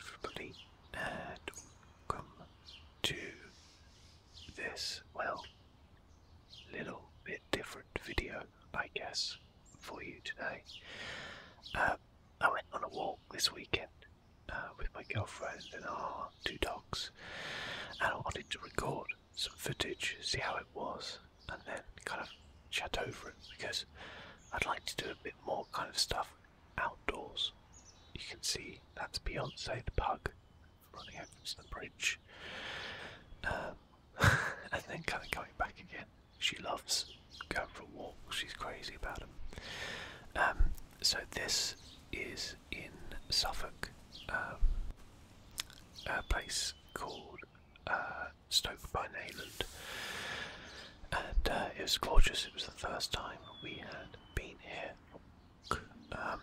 Everybody, welcome to this, well, little bit different video, I guess, for you today. Uh, I went on a walk this weekend uh, with my girlfriend and our two dogs, and I wanted to record some footage, see how it was, and then kind of chat over it because I'd like to do a bit more kind of stuff outdoors. You can see that's Beyonce the pug running over the bridge. Um, and then kind of going back again. She loves going for walks. she's crazy about them. Um, so, this is in Suffolk, um, a place called uh, Stoke by Nayland. And uh, it was gorgeous. It was the first time we had been here. Um,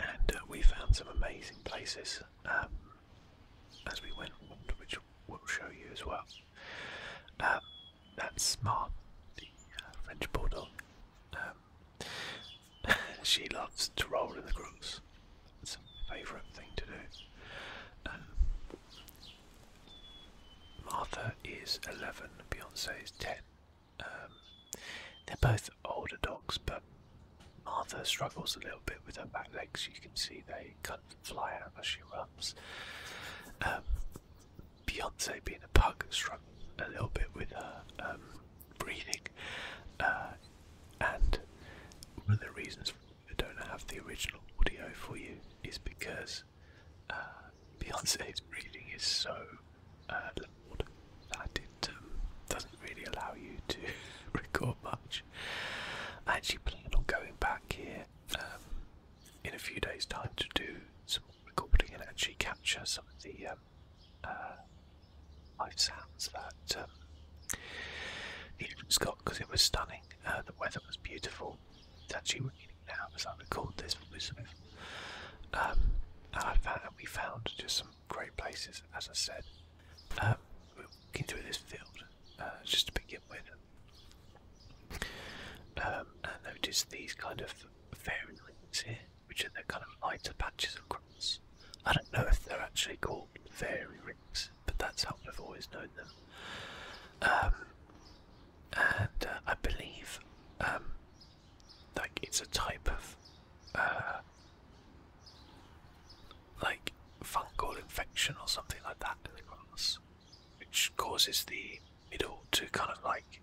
and uh, we found some amazing places um, as we went, which we'll show you as well. Um, that's Smart, the uh, French Bulldog. she loves to roll in the grass. It's a favourite thing to do. Um, Martha is 11, Beyonce is 10. Um, they're both older dogs, but Martha struggles a little bit with her back legs. You can see they kind of fly out as she runs. Um, Beyonce, being a pug, struggles a little bit with her breathing. Uh, and one of the reasons I don't have the original audio for you is because uh, Beyonce's reading is so uh, loud that it um, doesn't really allow you to record much. I actually plan on going back here um, in a few days' time to do some recording and actually capture some of the um, uh, live sounds that the um, he got because it was stunning. Uh, the weather was beautiful. It's actually raining now as I record this from um, I found that we found just some great places, as I said. Uh, we're looking through this field uh, just to begin with. Um, and notice these kind of fairy rings here, which are the kind of lighter patches of grass. I don't know if they're actually called fairy rings but that's how I've always known them. Um, and uh, I believe, um, like it's a type of, uh, like fungal infection or something like that in the grass, which causes the middle to kind of like,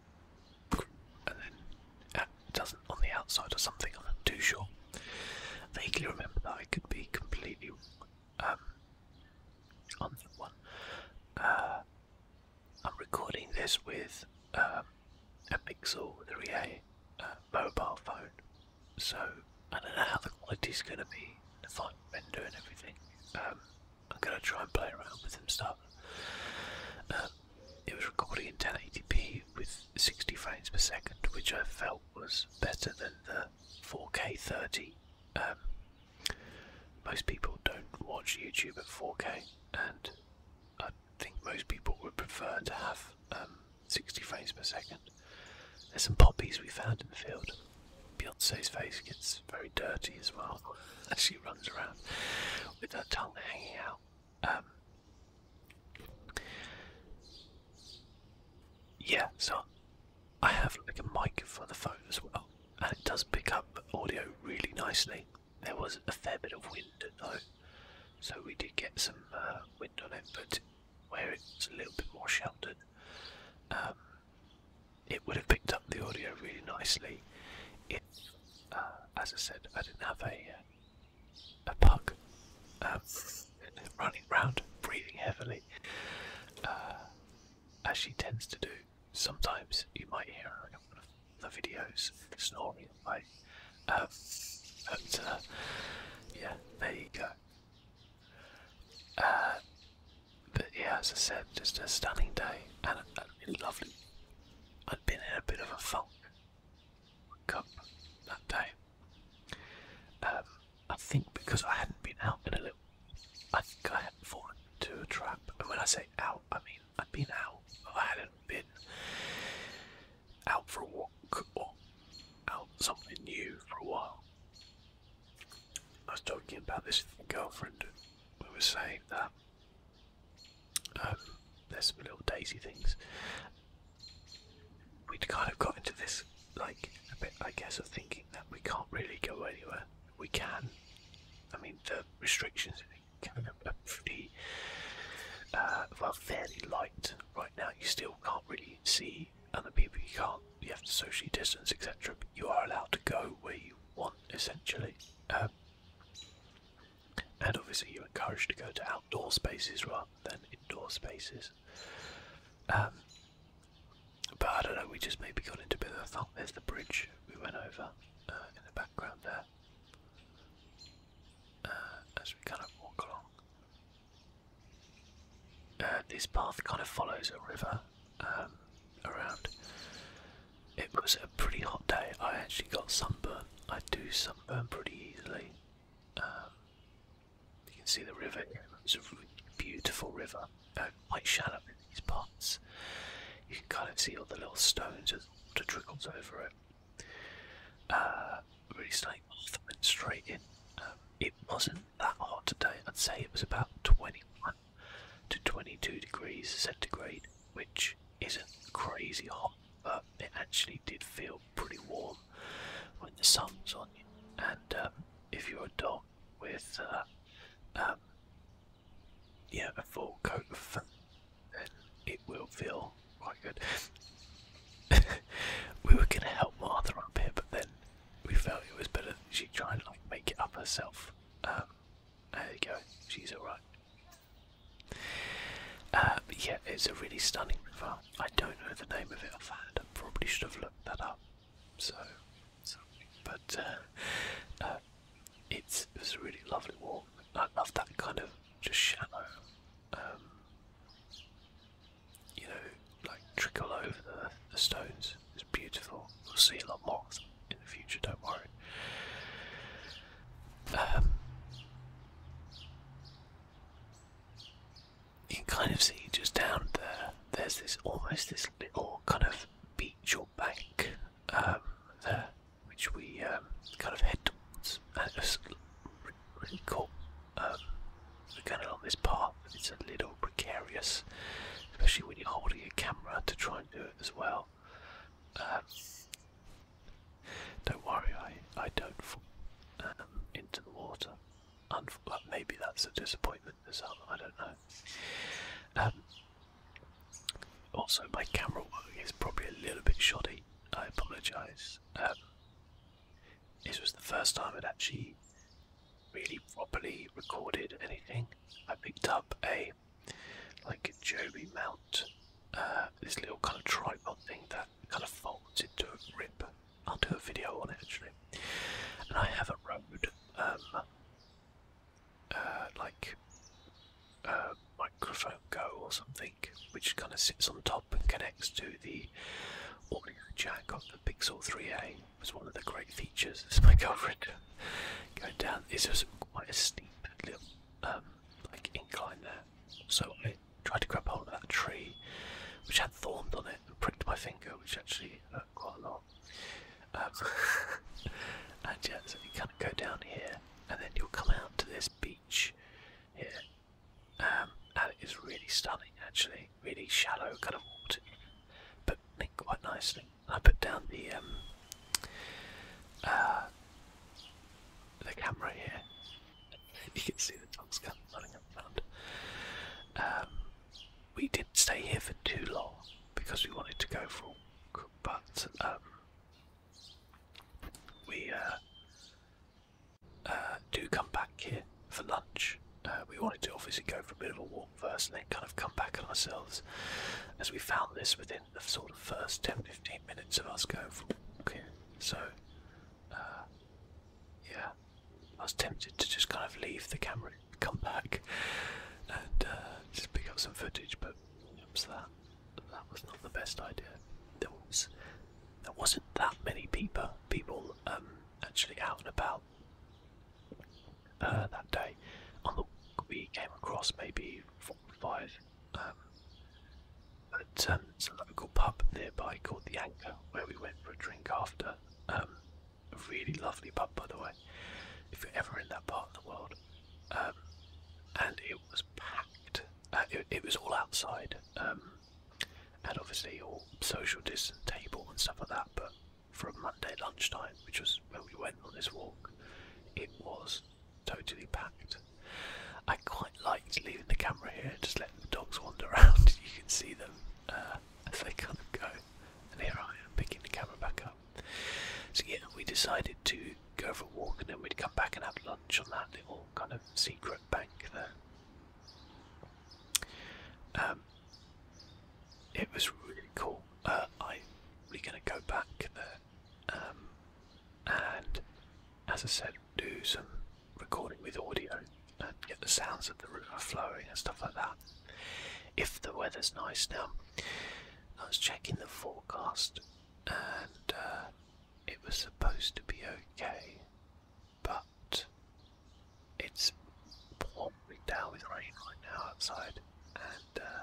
and then it uh, doesn't on the outside or something. I'm not too sure. vaguely remember that I could be completely wrong. Um, on that one. Uh, I'm recording this with um, a Pixel 3a uh, mobile phone, so I don't know how the quality's going to be, the fine render and everything. Um, I'm going to try and play around with some stuff. it was recording in 1080p with 60 frames per second, which I felt was better than the 4K 30. Um, most people don't watch YouTube at 4K, and I think most people would prefer to have um, 60 frames per second. There's some poppies we found in the field. Beyonce's face gets very dirty as well as she runs around with her tongue hanging out. Um, yeah, so I have like a mic for the phone as well, and it does pick up audio really nicely. There was a fair bit of wind at night, so we did get some uh, wind on it, but where it's a little bit more sheltered, um, it would have picked up the audio really nicely. If, uh, as I said, I didn't have a uh, a pug. Um, running around, breathing heavily, uh, as she tends to do. Sometimes you might hear her in the videos snoring like. Um, uh, yeah, there you go. Uh, but yeah, as I said, just a stunning day and a, lovely. I'd been in a bit of a funk that day. Um, I think because I hadn't been out in a little, I think I hadn't fallen into a trap. And when I say out, I mean I'd been out, but I hadn't been out for a walk or out something new for a while. I was talking about this girlfriend. We was saying that um, there's some little daisy things we'd kind of got into this like a bit I guess of thinking that we can't really go anywhere. We can. I mean the restrictions are kind of a pretty uh, well fairly light right now. You still can't really see other people. You can't. You have to socially distance, etc. But you are allowed to go where you want, essentially. Um, and obviously, you're encouraged to go to outdoor spaces rather than indoor spaces. Um, but I don't know, we just maybe got into a bit of a fault. There's the bridge we went over uh, in the background there uh, as we kind of walk along. Uh, this path kind of follows a river um, around. It was a pretty hot day. I actually got sunburn. I do sunburn pretty easily. Um, you can see the river It's a beautiful river, uh, quite shallow in these parts. You can kind of see all the little stones as water trickles over it. Uh, really straight Arthur and straight in. Um, it wasn't that hot today. I'd say it was about 21 to 22 degrees centigrade, which isn't crazy hot, but it actually did feel pretty warm when the sun's on you. And um, if you're a dog with uh, um, yeah a full coat of fur, then it will feel quite good. we were gonna help Martha up here, but then we felt it was better that she try and like make it up herself. Um, there you go, she's all right. Uh, yeah, it's a really stunning river. I don't know the name of it offhand. I probably should have looked that up. So, but uh, it was a really lovely walk. I love that kind of just shallow, um, you know, like trickle over the, stones. It's beautiful. We'll see a lot more in the future. Don't worry. Um, you can kind of see just down there, there's this almost this little kind of beach or bank um, there, which we um, kind of head towards. And it it's really cool. kind um, of along this path, it's a little precarious, especially when you're holding your camera to try and do it as well. don't worry, I, I don't fall into the water. Unf maybe that's a disappointment to some, I don't know. Um, also, my camera work is probably a little bit shoddy. I apologise. Um, this was the first time I'd actually really properly recorded anything. I picked up a like a Joby mount, uh, this little kind of tripod thing that kind of folds into a rib I'll do a video on it actually. And I have a road, um, uh, like uh, microphone go or something, which kind of sits on top and connects to the audio jack on the Pixel 3A. was one of the great features. This my girlfriend going down. This was quite a steep little um, like incline there, so I tried to grab hold of that tree, which had thorns on it, pricked my finger, which actually hurt quite a lot. Um, and yeah, so you kind of go down here, and then you'll come out to this beach here, um, it is really stunning actually, really shallow kind of water, but linked quite nicely. I put down the um, uh, the camera here. you can see the dogs kind of running around. Um, we didn't stay here for too long because we wanted to go for a walk, but um, we uh, uh, do come back here for lunch. Uh, we wanted to obviously go for a bit of a walk first and then kind of come back on ourselves as we found this within the sort of first 10 15 minutes of us going for a walk So, yeah. I was tempted to just kind of leave the camera, come back, and uh, just pick up some footage, but that that was not the best idea. There was there wasn't that many people people um, actually out and about uh, that day. On the we came across maybe four or five. Um, but um, local pub nearby called the Anchor, where we went for a drink after, a um, really lovely pub, by the way, if you're ever in that part of the world. Um, and it was packed. Uh, it, was all outside, um, and obviously all social distant table and stuff like that. But for a Monday lunchtime, which was when we went on this walk, it was totally packed. I quite liked leaving the camera here just letting the dogs wander around. you can see them uh, as they kind of go. And here I am picking the camera back up. So yeah, we decided to go for a walk and then we'd come back and have lunch on that little kind of secret bank there. Um, it was really cool. Uh, I'm really going to go back there um, and, as I said, do some recording with audio and get the sounds of the river uh, flowing and stuff like that. If the weather's nice now, I was checking the forecast and uh, it was supposed to be okay, but it's pouring down with rain right now outside, and uh,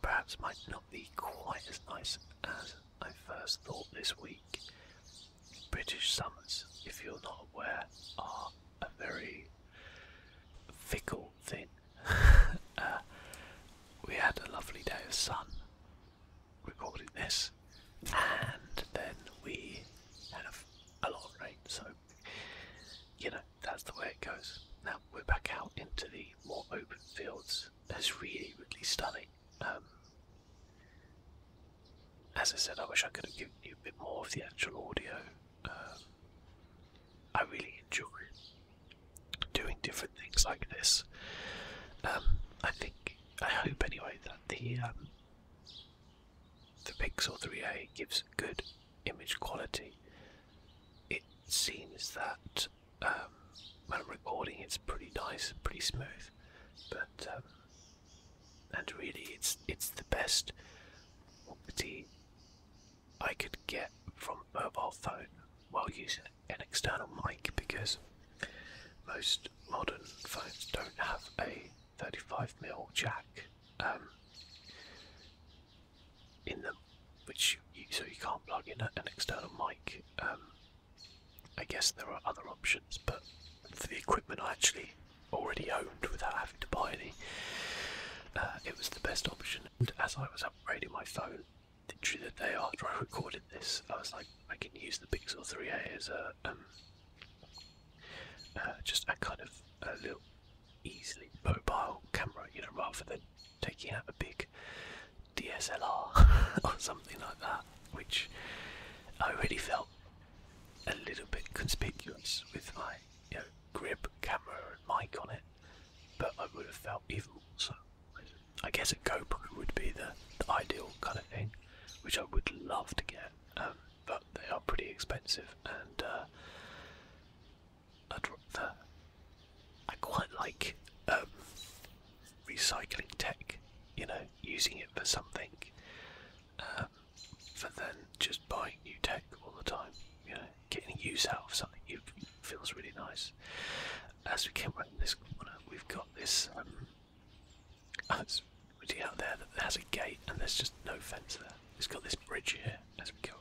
perhaps might not be quite as nice as I first thought this week. British summers, if you're not aware, are a very fickle thing. Uh, we had a lovely day of sun recording this, and then we had a, a lot of rain, so you know, that's the way it goes. Now we're back out into the more open fields. It's really, really stunning. Um, as I said, I wish I could have given you a bit more of the actual audio. Um, I really enjoy doing different things like this. Um, I think, I hope anyway, that the um, the Pixel 3a gives good image quality. It seems that when I'm recording, it's pretty nice, pretty smooth, but and really it's it's the best property I could get from a mobile phone while using an external mic because most modern phones don't have a 35mm jack um, in them, which so you can't plug in an external mic. Um, I guess there are other options, but for the equipment I actually already owned without having to buy any. Uh, it was the best option. And as I was upgrading my phone, literally the day after I recorded this, I was like, I can use the Pixel 3a as a um, uh, just a kind of a little easily mobile camera, you know, rather than taking out a big DSLR or something like that, which I really felt a little bit conspicuous with my grip, camera, and mic on it, but I would have felt even more so. I guess a GoPro would be the, ideal kind of thing, which I would love to get, um, but they are pretty expensive, and uh, I'd rather. I quite like um, recycling tech, you know, using it for something. Uh, better for than just buying new tech all the time. You know, getting use out of something feels really nice. As we came around this corner, we've got this. Um, oh, it's really out there that has a gate, and there's just no fence there. It's got this bridge here as we go.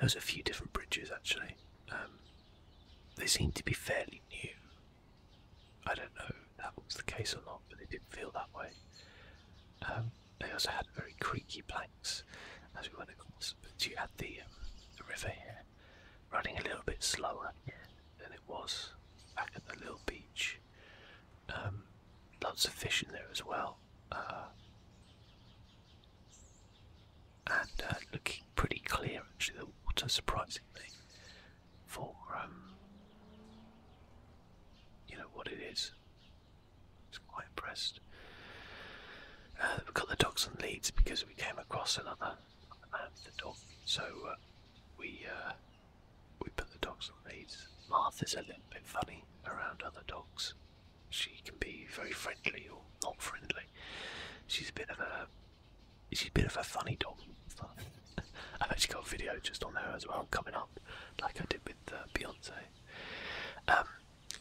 There's a few different bridges actually. Um, they seem to be fairly new, I don't know if that was the case or not, but it did not feel that way. Um, they also had very creaky planks as we went across, but you had the, um, the river here running a little bit slower than it was back at the little beach. Um, lots of fish in there as well, uh, and uh, looking pretty clear actually the water surprisingly fulcrum. You know what it is. It's quite impressed. Uh, we've got the dogs on leads because we came across another the dog, so uh, we uh, we put the dogs on leads. Martha's a little bit funny around other dogs. She can be very friendly or not friendly. She's a bit of a She's a bit of a funny dog. I've actually got a video just on her as well coming up, like I did with uh, Beyonce. Um,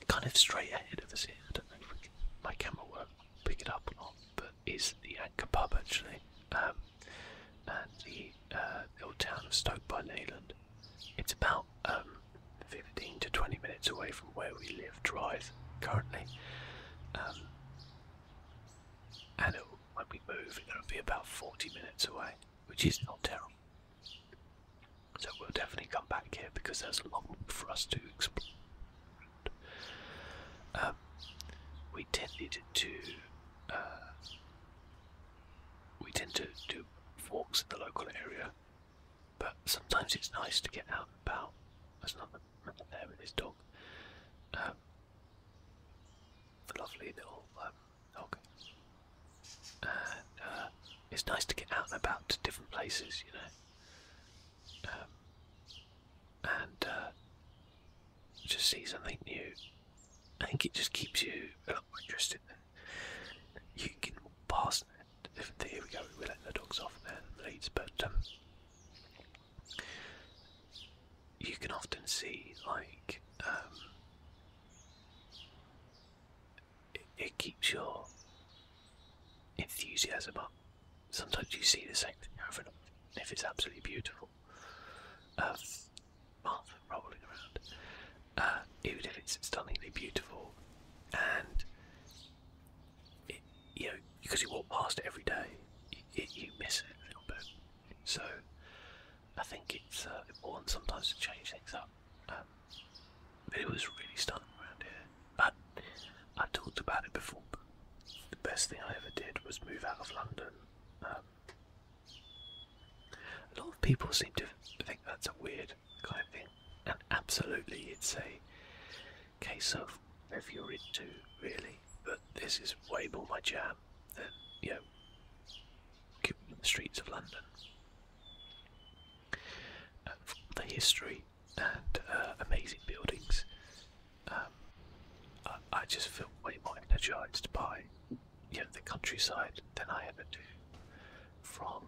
kind of straight ahead of us here. I don't know if my camera will pick it up or not, but is the Anchor Pub actually, um, and the, old uh, town of Stoke by Leyland. It's about um, 15 to 20 minutes away from where we live, drive currently. and when we move, it'll be about 40 minutes away, which is not terrible. So we'll definitely come back here because there's a lot for us to explore. Um, uh, we tend to do walks in the local area, but sometimes it's nice to get out and about. There's another man there with his dog. Um, the lovely little. Um, uh, it's nice to get out and about to different places, you know. Um, and uh, just see something new. I think it just keeps you a lot more interested. You can pass. Here we go. We let the dogs off and leads, but um, you can often see like um, it, keeps your enthusiasm up. Sometimes you see the same thing over and over, if it's absolutely beautiful. Uh, Martha rolling around, uh, even if it's stunningly beautiful, and it, you know because you walk past it every day, you miss it a little bit. So I think it's uh, important sometimes to change things up. Um, but it was really stunning around here. But I talked about it before. The best thing I ever did was move out of London. Um, a lot of people seem to think that's a weird kind of thing, and absolutely, it's a case of if you're into really but this is way more my jam than, you know, the streets of London. the history and uh, amazing buildings. Um, I, just feel way more energised by you know, the countryside than I ever do from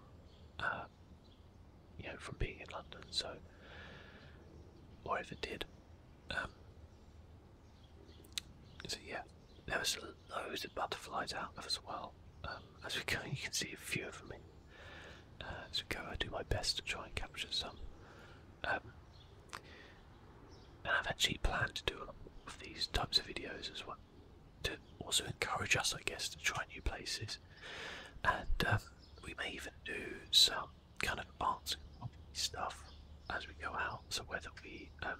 uh, you know from being in London. So, or if it did. Um, so yeah, there was loads of butterflies out there as well. Um, as we go, you can see a few of them. In. as uh, we go, I do my best to try and capture some. Um, and I've actually planned to do a lot of these types of videos as well, to also encourage us, I guess, to try new places. And we may even do some kind of arts stuff as we go out. So whether we um,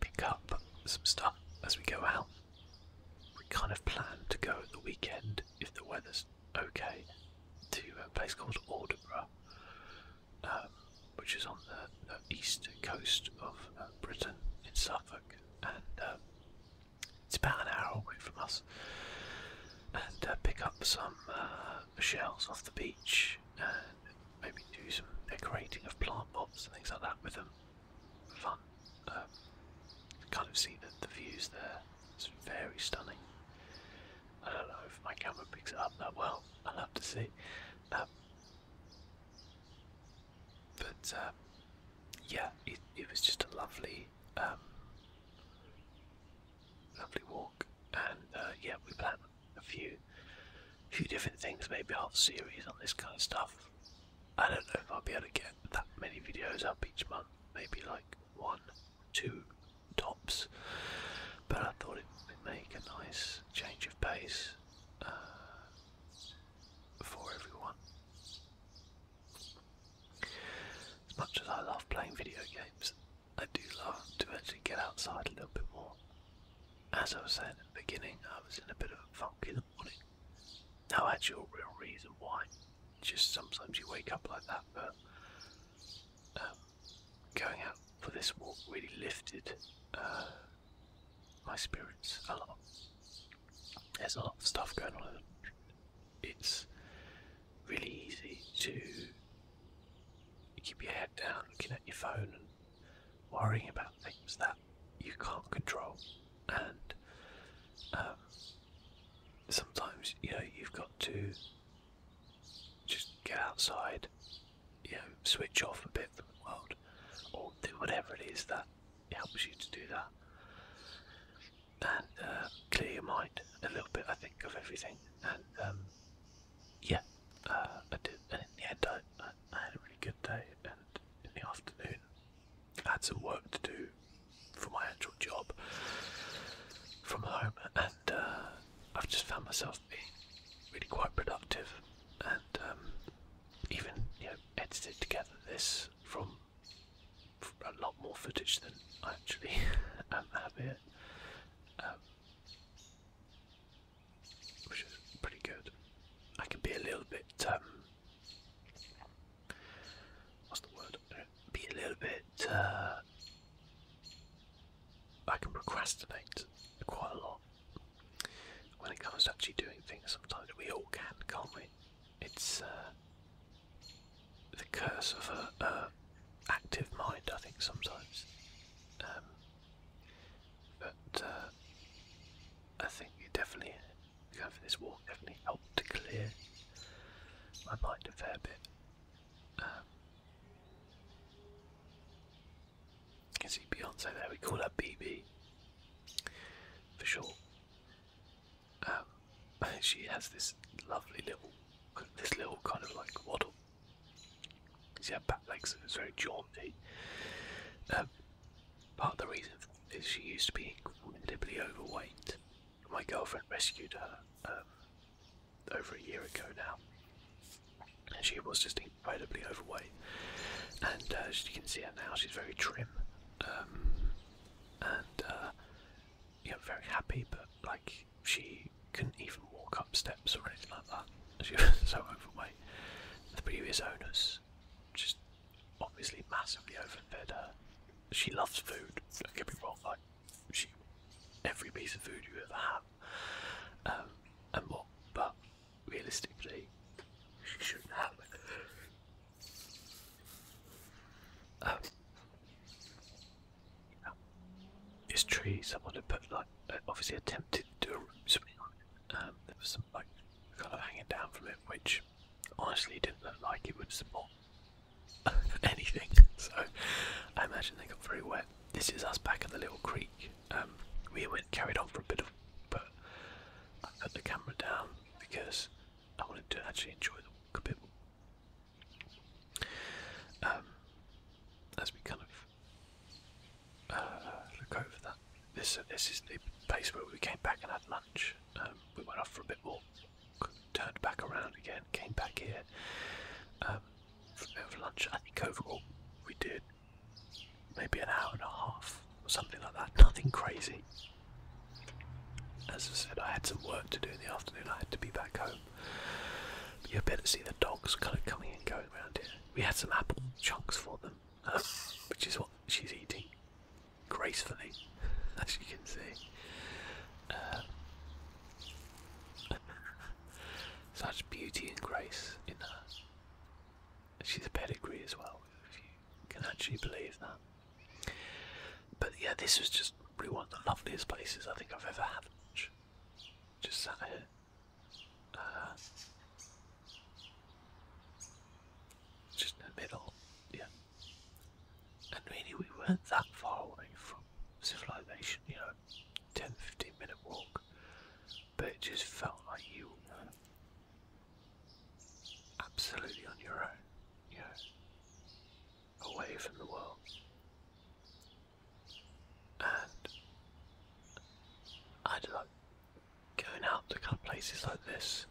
pick up some stuff as we go out, we kind of plan to go the weekend if the weather's okay to a place called Alderborough, um, which is on the, east coast of uh, Britain in Suffolk, and um, it's about an hour away from us, and uh, pick up some uh, shells off the beach, and maybe do some decorating of plant pots and things like that with them. Fun. Um, kind of see the, the views there. It's very stunning. I don't know if my camera picks it up that well. i love to see. Um, but uh, yeah, it, was just a lovely um, lovely walk. And uh, yeah, we plan a few, few different things, maybe a whole series on this kind of stuff. I don't know if I'll be able to get that many videos up each month, maybe like one, two tops. But I thought it would make a nice change of pace uh, for everyone. As much as I love playing video games, I do love to actually get outside a little bit more. As I was saying at the beginning, I was in a bit of a funk in the morning. No actual real reason why. Just sometimes you wake up like that, but um, going out for this walk really lifted uh, my spirits a lot. There's a lot of stuff going on it's really easy to keep your head down looking at your phone and worrying about things that you can't control and um, sometimes you know you've got to just get outside you know switch off a bit from the world or do whatever it is that helps you to do that and uh, clear your mind a little bit, I think, of everything. And um, yeah, uh, I did. And in the end, I, had a really good day. And in the afternoon, I had some work to do for my actual job from home, and uh, I've just found myself being really quite productive. And um, even you know, edited together this from a lot more footage than I actually um, have here, um, which is pretty good. I can be a little bit, um, what's the word? Be a little bit. Uh, I can procrastinate quite a lot when it comes to actually doing things. Sometimes we all can, can't we? It's uh, the curse of a, active mind, I think sometimes. Um, but uh, I think you definitely going for this walk definitely helped to clear my mind a fair bit. Um, you can see Beyonce there. We call her BB for sure. Um, she has this lovely little, this little kind of like waddle. She has back legs and was very jaunty. Um, part of the reason is she used to be incredibly overweight. My girlfriend rescued her um, over a year ago now. she was just incredibly overweight. And uh, as you can see her now, she's very trim. and uh, you know, very happy, but like she couldn't even walk up steps or anything like that. She was so overweight. The previous owners just obviously massively overfed her. She loves food. Don't get me wrong, like she every piece of food you ever have, um, and what. But realistically, she shouldn't have. it. Um, you this tree, someone had put like uh, obviously attempted to do something on Um, there was some like kind of hanging down from it, which honestly didn't look like it would support anything. So I imagine they got very wet. This is us back at the little creek. Um, we went carried on for a bit of, but I put the camera down because I wanted to actually enjoy the walk a bit more. Um, as we kind of uh, look over that, this uh, this is the place where we came back and had lunch. Um, we went off for a bit more, turned back around again, came back here um, for lunch. I think overall we did maybe an hour and a half or something like that. Nothing crazy. As I said, I had some work to do in the afternoon. I had to be back home. But you'd better see the dogs kind of coming and going around here. We had some apple chunks for them, um, which is what she's eating gracefully, as you can see. Um, such beauty and grace in her. She's a pedigree as well, if you can actually believe that. But yeah, this was just probably one of the loveliest places I think I've ever had Just sat here. Uh, just in the middle, yeah. And really, we weren't that far away from civilization, you know, 10 15 minute walk, but it just felt like you were absolutely on your own, you know away from the world. And I'd like going out to kind of places like this.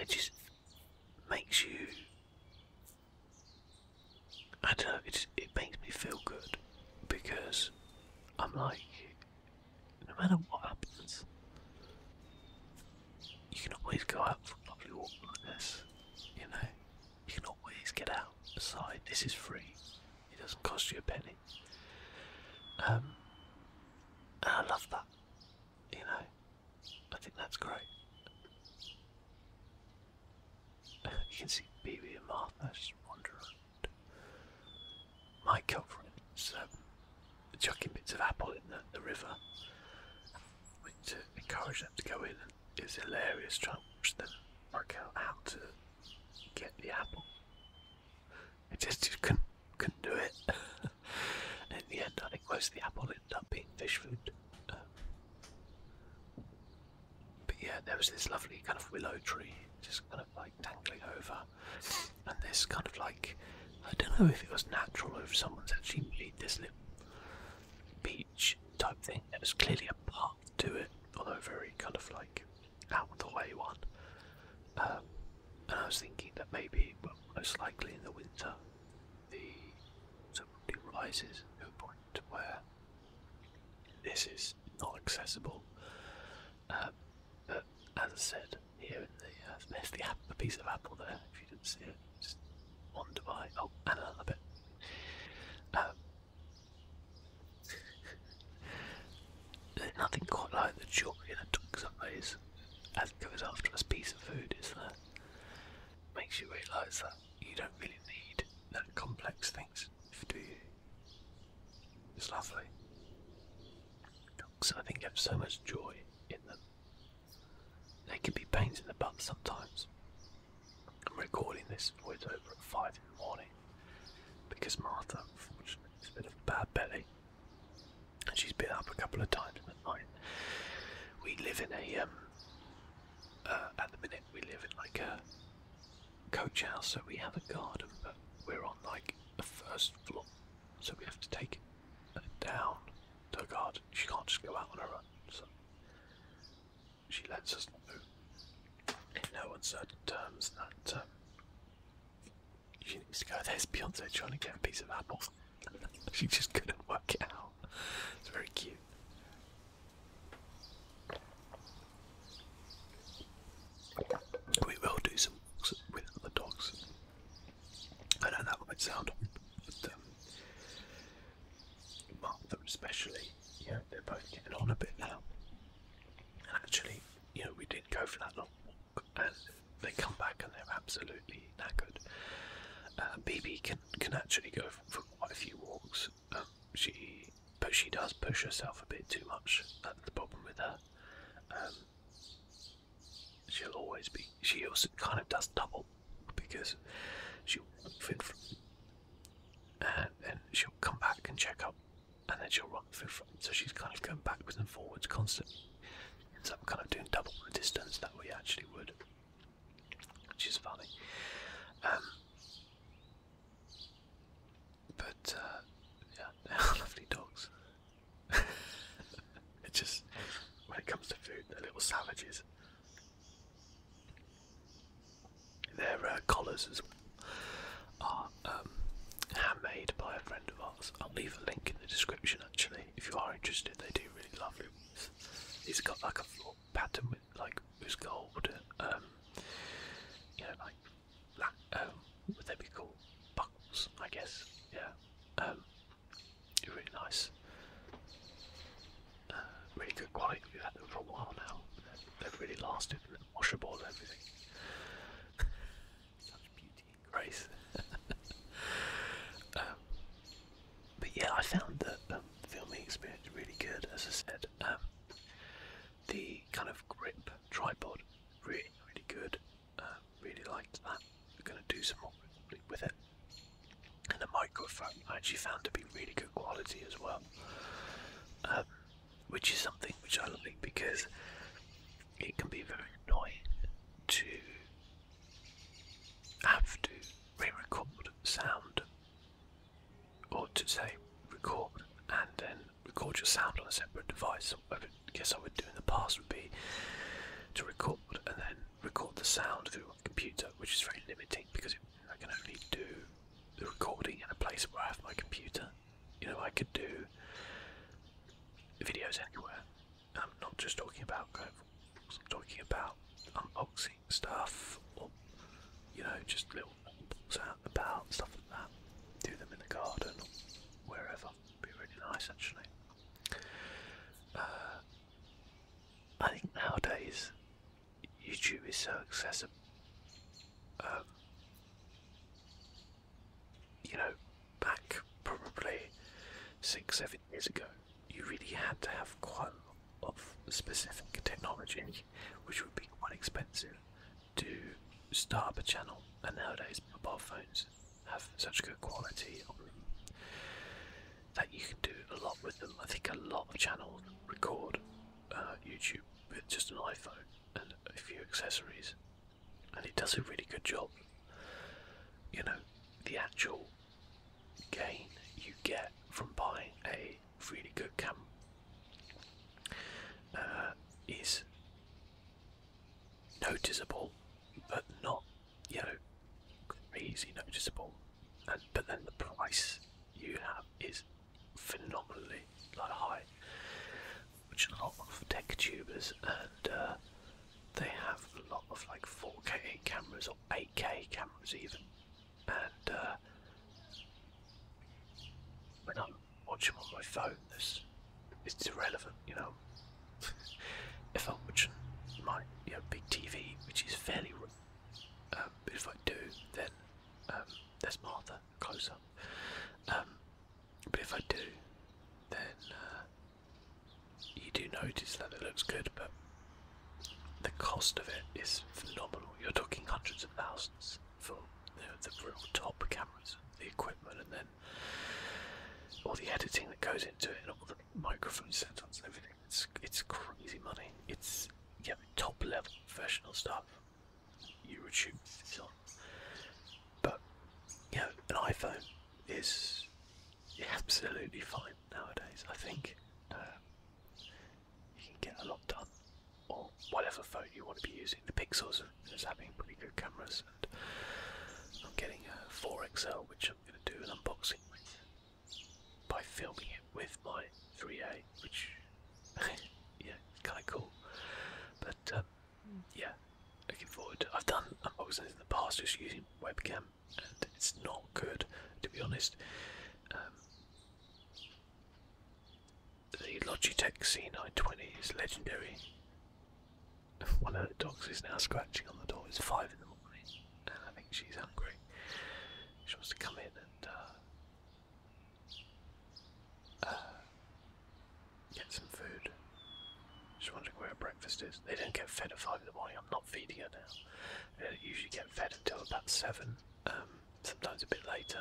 It just makes you. I don't know. It it makes me feel good because I'm like, no matter what happens, you can always go out for a lovely walk like this, you know. You can always get out Besides, This is free. It doesn't cost you a penny. Um, and I love that. You know, I think that's great. You can see Bibi and Martha just wandering My girlfriend is chucking bits of apple in the, river to uh, encourage them to go in. and it was hilarious trying to work out how to get the apple. I just, just couldn't, couldn't do it. in the end, I think most of the apple ended up being fish food. Um, but yeah, there was this lovely kind of willow tree just kind of like dangling over, and this kind of like I don't know if it was natural or if someone's actually made this little beach type thing. There was clearly a path to it, although very kind of like out of the way one. Um, and I was thinking that maybe, most likely in the winter, the sun rises to a point where this is not accessible. Um, as said, here in the. Uh, there's the, piece of apple there. If you didn't see it, just wander by. Oh, and another bit. Um, nothing quite like the joy in a dog some as it goes after a piece of food, is Makes you realise that you don't really need that complex things, do It's lovely. Dogs, I think, have so much joy in them. They can be pains in the butt sometimes. I'm recording this voice over at 5 in the morning because Martha, unfortunately, is a bit of a bad belly and she's been up a couple of times in the night. We live in a, um, uh, at the minute, we live in like a coach house, so we have a garden, but we're on like a first floor, so we have to take her down to her garden. She can't just go out on her own. So she lets us know in no uncertain terms that um, she needs to go. There's Beyonce trying to get a piece of apple. she just couldn't work it out. It's very cute. We will do some walks with other dogs I know that might sound but um, Martha especially, you they're both getting on a bit now. And actually, you know, we did go for that long walk and they come back and they're absolutely knackered. Uh, BB can, can actually go for, quite a few walks. Um, she but she does push herself a bit too much. That's the problem with her. Um, she'll always be. She also kind of does double because she'll fit from, and then she'll come back and check up, and then she'll run through. So she's kind of going backwards and forwards constantly. So I'm kind of doing double the distance that we actually would, which is funny. Um, but uh, yeah, lovely dogs. it just when it comes to food, they're little savages. Their uh, collars as well are um, handmade by a friend of ours. I'll leave a link in the description actually if you are interested. They do really lovely ones. He's got like a floor pattern with like who's gold, um, you know, like black, um, would they be called buckles? I guess, yeah. Um, they're really nice. Uh, really good quality. We've had them for a while now. They've really lasted. Washable everything. Such beauty and grace. Um, but yeah, I found the um, filming experience really good. As I said, um, the kind of grip tripod really, really good. Uh, really liked that. We're going to do some more with it. And the microphone I actually found to be really good quality as well, um, which is something which I like because it can be very annoying to have to re-record sound or to say record and then record your sound on a separate device. So I would, guess I would do in the past would be to record and then record the sound through a computer, which is very limiting because I can only do the recording in a place where I have my computer. You know, I could do videos anywhere. I'm not just talking about going. I'm talking about unboxing stuff, or you know, just little things out about stuff like that. Do them in the garden or wherever. It'd be really nice, actually. Uh, I think nowadays YouTube is so accessible. Um, you know, back probably six, seven years ago, you really had to have quite a lot of specific technology, which would be quite expensive, to start up a channel. And nowadays, mobile phones have such good quality that you can do a lot with them. I think a lot of channels record uh, YouTube with just an iPhone and a few accessories, and it does a really good job. You know, the actual gain you get from buying a really good cam uh, is noticeable, but not you know, crazy noticeable. And but then the price you have is phenomenally like high, which a lot of tech tubers and uh, they have a lot of like 4K cameras or 8K cameras even. And uh, when I'm watching on my phone, this it's irrelevant, you know. Um, if I'm watching my big TV, which is fairly um, but if I do, then um, there's Martha close up. Um, but if I do, then uh, you do notice that it looks good, but the cost of it is phenomenal. You're talking hundreds of thousands for the real top cameras, the equipment, and then all the editing that goes into it, and all the microphone setups and everything. It's it's crazy money. It's yeah, top level professional stuff. YouTube is on. But you know, an iPhone is absolutely fine nowadays, I think. Um, you can get a lot done. Or whatever phone you want to be using. The Pixels are having pretty good cameras and I'm getting a 4XL which I'm going to do an unboxing by filming it with my 3A, which, yeah, kind of cool. But, um, yeah, looking forward. I've done unboxings in the past just using webcam, and it's not good, to be honest. Um, the Logitech C920 is legendary. One of the dogs is now scratching on the door. It's five in the morning, and I think she's hungry. She wants to come in and uh, uh, get some food. She's wondering where breakfast is. They don't get fed at five in the morning. I'm not feeding her now. They usually get fed until about seven, um, sometimes a bit later.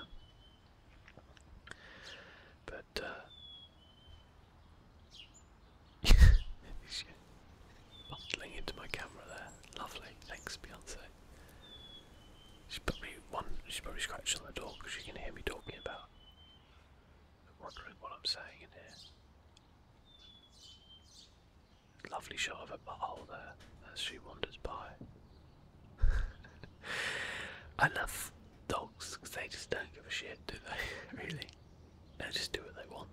But uh, Bundling into my camera there. Lovely. Thanks, Beyonce. She's put one. She probably scratching on the door because she can hear me talking about. Wondering what I'm saying in here. Lovely shot of a butthole there as she wanders by. I love dogs because they just don't give a shit, do they? really? No, just do what um, they want.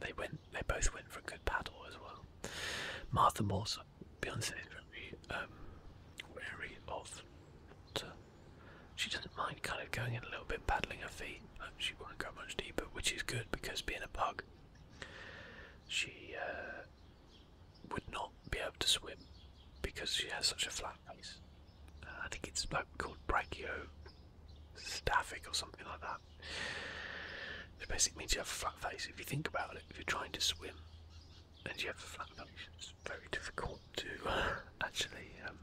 they went. They both went for a good paddle as well. Martha Morse, Beyonce is very um, wary of. she doesn't mind kind of going in a little bit, paddling her feet. she won't go much deeper, which is good because being a pug, she uh, would not be able to swim because she has such a flat face. Uh, I think it's like called brachiostaphic or something like that. It basically means you have a flat face. If you think about it, if you're trying to swim and you have a flat face, it's very difficult to uh, actually um,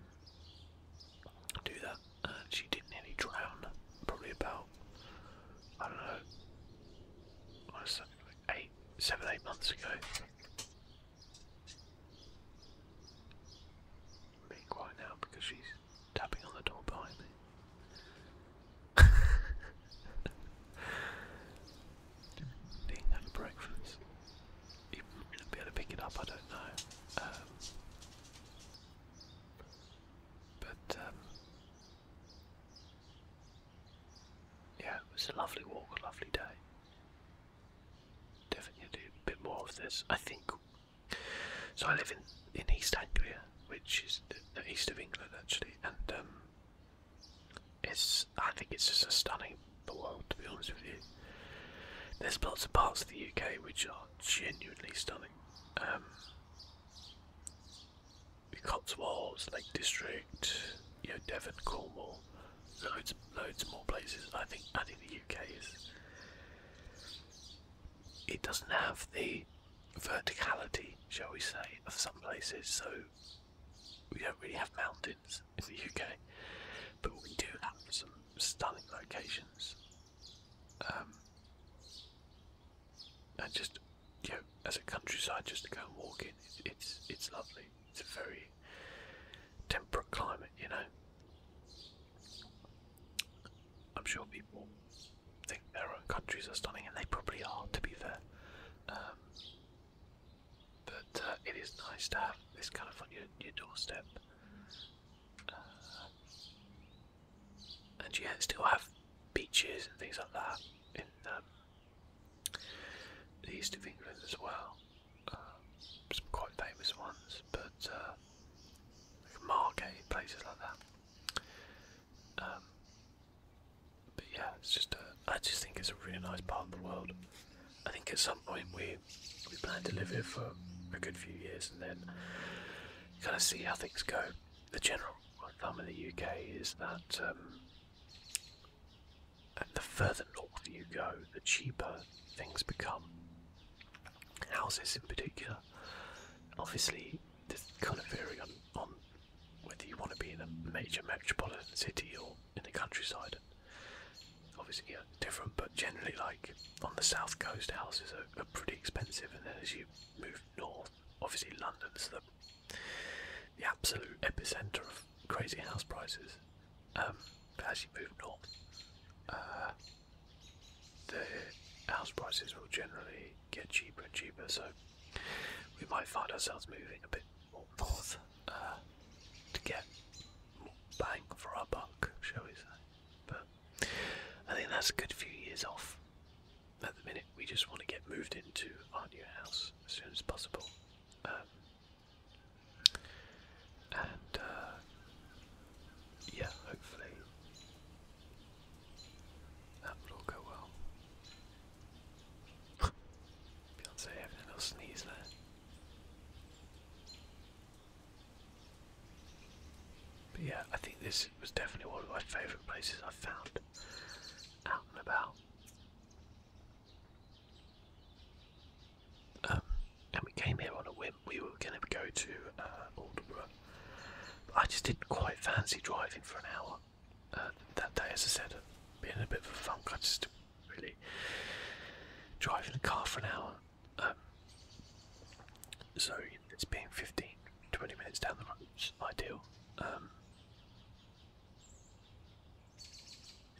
do that. And she didn't nearly drown. Probably about I don't know. I was like eight, seven, eight months ago i quiet now because she's tapping on the door behind me. Didn't have breakfast. Even be able to pick it up, I don't know. Um, but um, yeah, it was a lovely walk, a lovely day. Definitely do a bit more of this. I think. So I live in in East Anglia, which is the, east of England actually, and um, it's I think it's just a stunning the world to be honest with you. There's lots of parts of the UK which are genuinely stunning. Um, the Cotswolds, Lake District, you know, Devon, Cornwall, loads, loads more places. I think, I think the UK is. It doesn't have the verticality, shall we say, of some places. So we don't really have mountains in the UK, but we do have some stunning locations. Um, and just you know, as a countryside, just to go and walk in, it's, it's lovely. It's a very temperate climate, you know. I'm sure people think their own countries are stunning, and they probably are, to be fair. Um, but uh, it is nice to have this kind of on your, doorstep. Uh, and yeah, still have beaches and things like that in um, the east of England as well. Um, some quite famous ones, but uh, places like that. Um, but yeah, it's just uh, I just think it's a really nice part of the world. I think at some point we we plan to live here for a good few years and then kind of see how things go. The general rule of in the UK is that um, and the further north you go, the cheaper things become. Houses in particular. Obviously, this kind of varying on, whether you want to be in a major metropolitan city or in the countryside. Obviously, different, but generally, like on the south coast, houses are, are pretty expensive, and then as you move north, obviously London's the the absolute epicenter of crazy house prices. Um, but as you move north, uh, the house prices will generally get cheaper and cheaper. So we might find ourselves moving a bit more north uh, to get more bang for our buck, shall we say? But I think that's a good few years off. At the minute, we just want to get moved into our new house as soon as possible. Um, and uh, yeah, hopefully that will go well. Beyonce having a little sneeze But yeah, I think this was definitely one of my favourite places i found out and about. Um, and we came here on a whim. We were going to go to uh, Alderborough. But I just didn't quite fancy driving for an hour uh, that day, as I said, uh, being a bit of a funk. I just really driving the car for an hour. Um, so it's being 15, 20 minutes down the road, ideal. Um,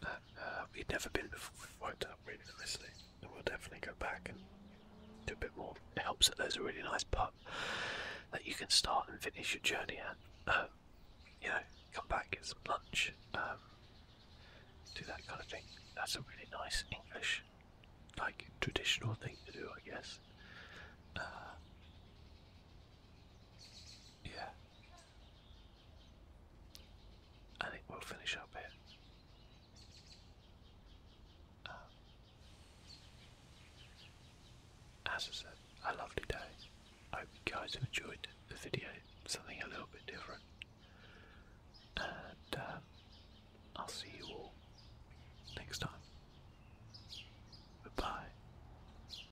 uh, we'd never been before. It worked really nicely, and we'll definitely go back and do a bit more. It helps that there's a really nice pub that you can start and finish your journey at. Um, you know, come back, get some lunch, um, do that kind of thing. That's a really nice English, like traditional thing to do, I guess. Uh, yeah, I think we'll finish up here. Um, as I said, a lovely day. I hope you guys have enjoyed the video, something a little bit different. And uh, I'll see you all next time. Goodbye.